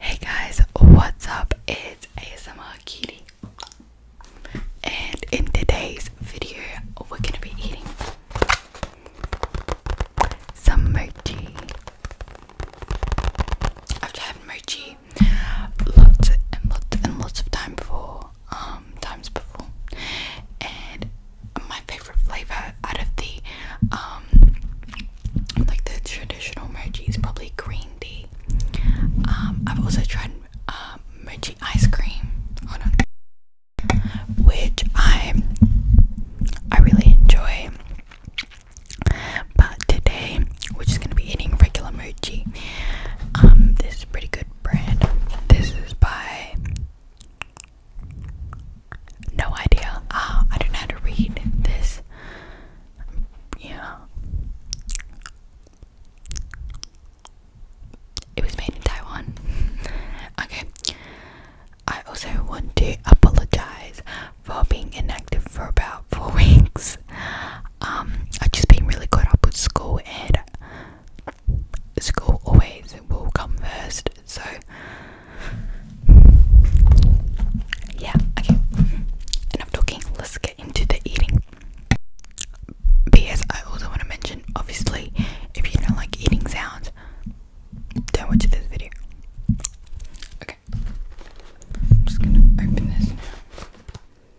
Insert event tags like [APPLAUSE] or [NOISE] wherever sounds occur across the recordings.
hey guys, what's up? It's ASMR Kitty, and in today's video, we're gonna be eating some mochi. I've mochi maybe lots and lots and lots of time for um times before and my favorite flavor out of the um like the traditional mochi is probably green tea um I've also tried um mochi ice cream hold on which I I really enjoy but today we're just gonna be eating regular mochi. Um, this is a pretty good brand. This is by no idea. Ah, I don't know how to read this. Yeah. It was made in Taiwan. [LAUGHS] okay. I also want to apologize for being inactive for about four [LAUGHS] weeks. Um, I've just been really caught up with school and school always will come first. So, yeah, okay. Enough talking, let's get into the eating. P.S. I also want to mention obviously, if you don't like eating sounds, don't watch this video. Okay, I'm just gonna open this now.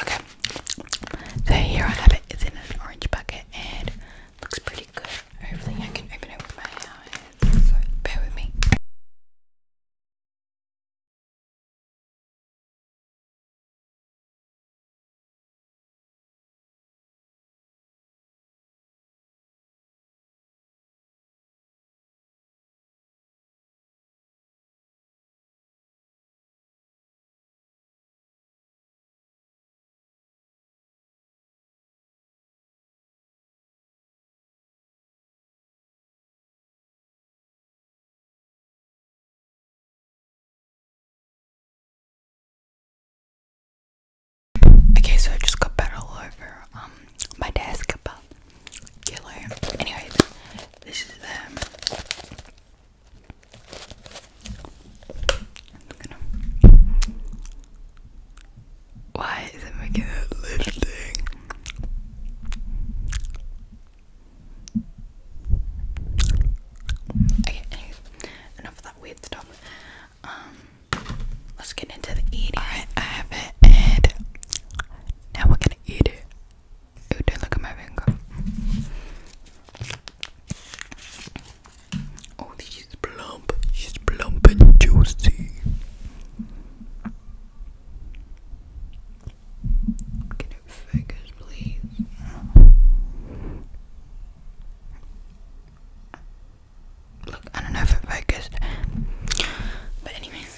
Okay, so here I have it. It's in an orange bucket and looks pretty good. Hopefully, I can open it with my hands. So bear with me. Okay, so I just got back all over um my desk, about killer. Anyways, this is them. Why is it making that lifting? Okay, enough of that weird stuff. Um, let's get into the eating. Alright, I have it, now we're gonna eat it. don't look at my finger. Oh, she's plump. She's plump and juicy. Can you focus, please? Look, I don't know if it focused. But anyways,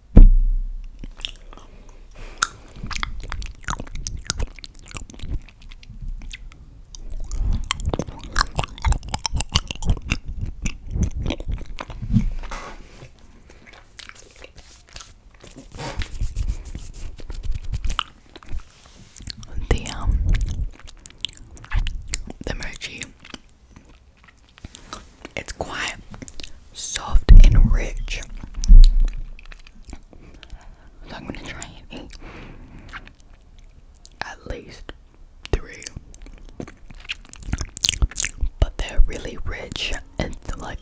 The um the mochi it's quiet, soft and rich. So I'm gonna try at least three. But they're really rich and like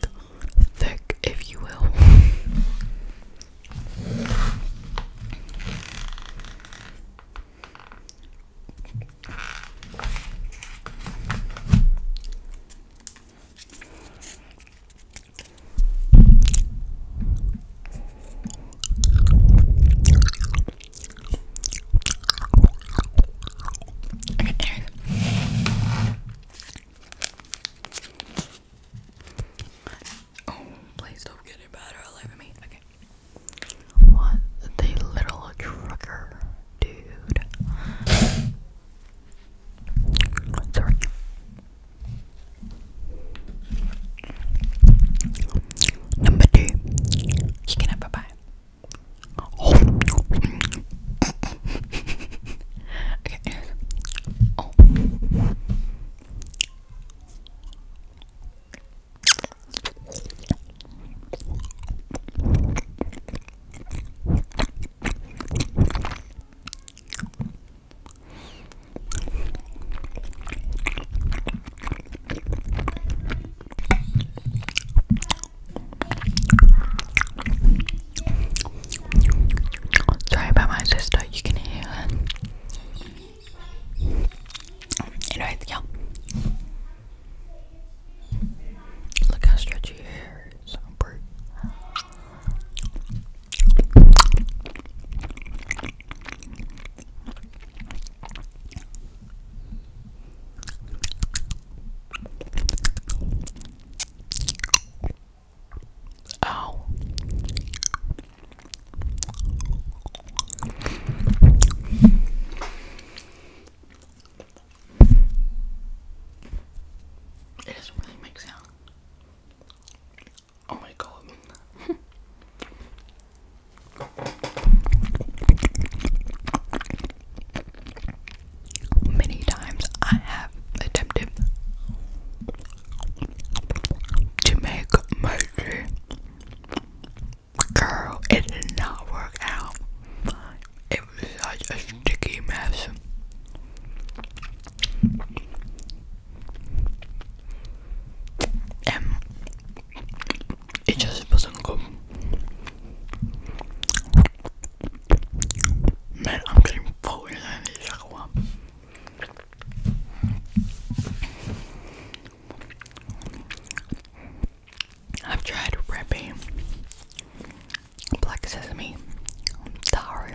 thick, if you will. Oh, please don't get it better all over me. Okay. What the literal trucker dude. Sorry. Number two, you can have a bite. okay. Sorry about my sister, you can hear her. Anyways, yeah. Look how stretchy your hair is. Bert. Ow. It doesn't really make sound. Oh my god. Many times I have attempted to make mercy. Girl, it did not work out. It was such a sticky mess. And um, it just wasn't good. Man, I'm getting voted this one. I've tried Reppy, Black Sesame, sorry,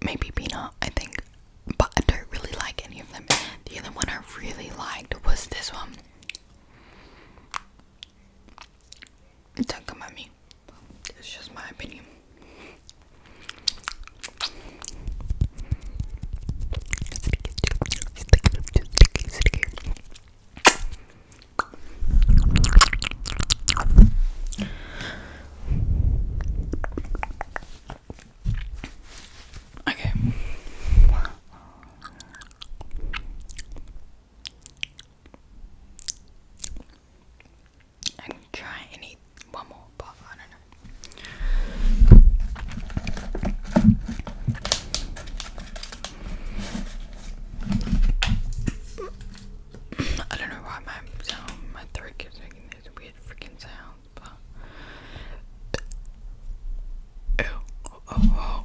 maybe Peanut, I think, but I don't really like any of them. The other one I really liked was this one. Don't come at It's just my opinion. Okay. I can try and eat one more, but I don't know. I don't know why my my throat keeps making these weird freaking sounds, but. oh.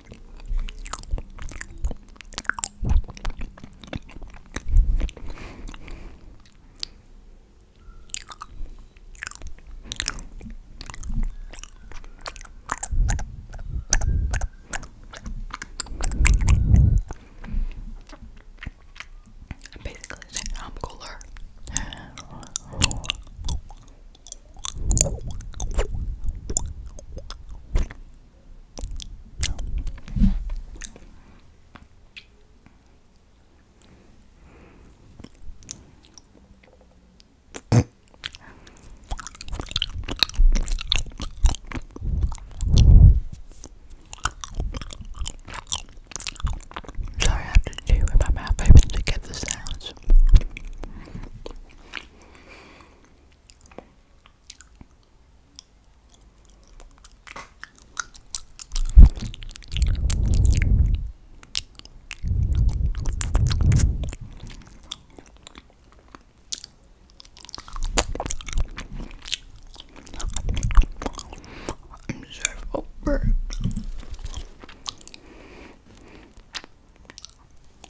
I'm basically saying I'm cooler. Sorry, I have to chew with my mouth open to get the sounds. I'm so over.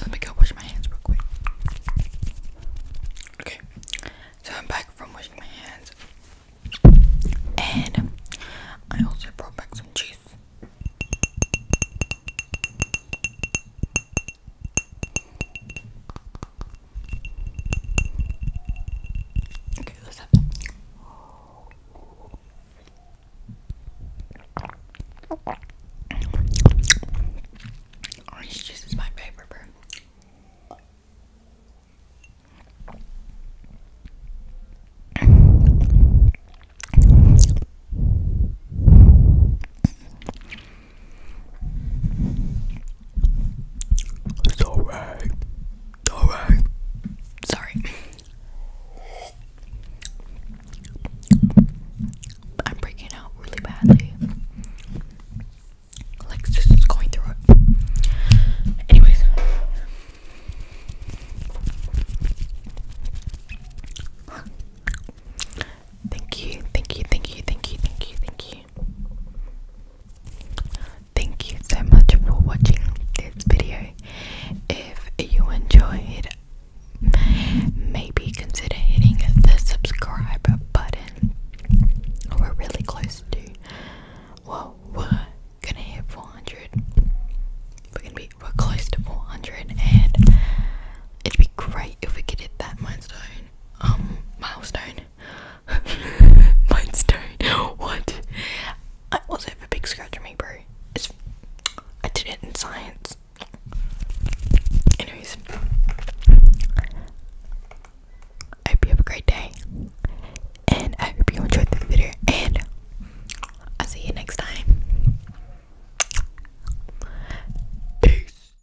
let me go wash my hands real quick. Okay, so I'm back from washing my hands, and I also brought back some cheese. Okay, let's have Orange juice is my favorite it's alright. It's alright. Sorry. I'm breaking out really badly. Like just going through it. Anyways. Thank you, thank you, thank you, thank you, thank you, thank you, Thank you so much for watching this video. If you enjoyed, maybe consider hitting the subscribe button. We're really close to, well, we're gonna hit 400. We're gonna be, we're close to 400, and it'd be great if we could hit that milestone um milestone [LAUGHS] milestone what I also have a big scratch on me bro it's I did it in science anyways I hope you have a great day and I hope you enjoyed this video and I'll see you next time peace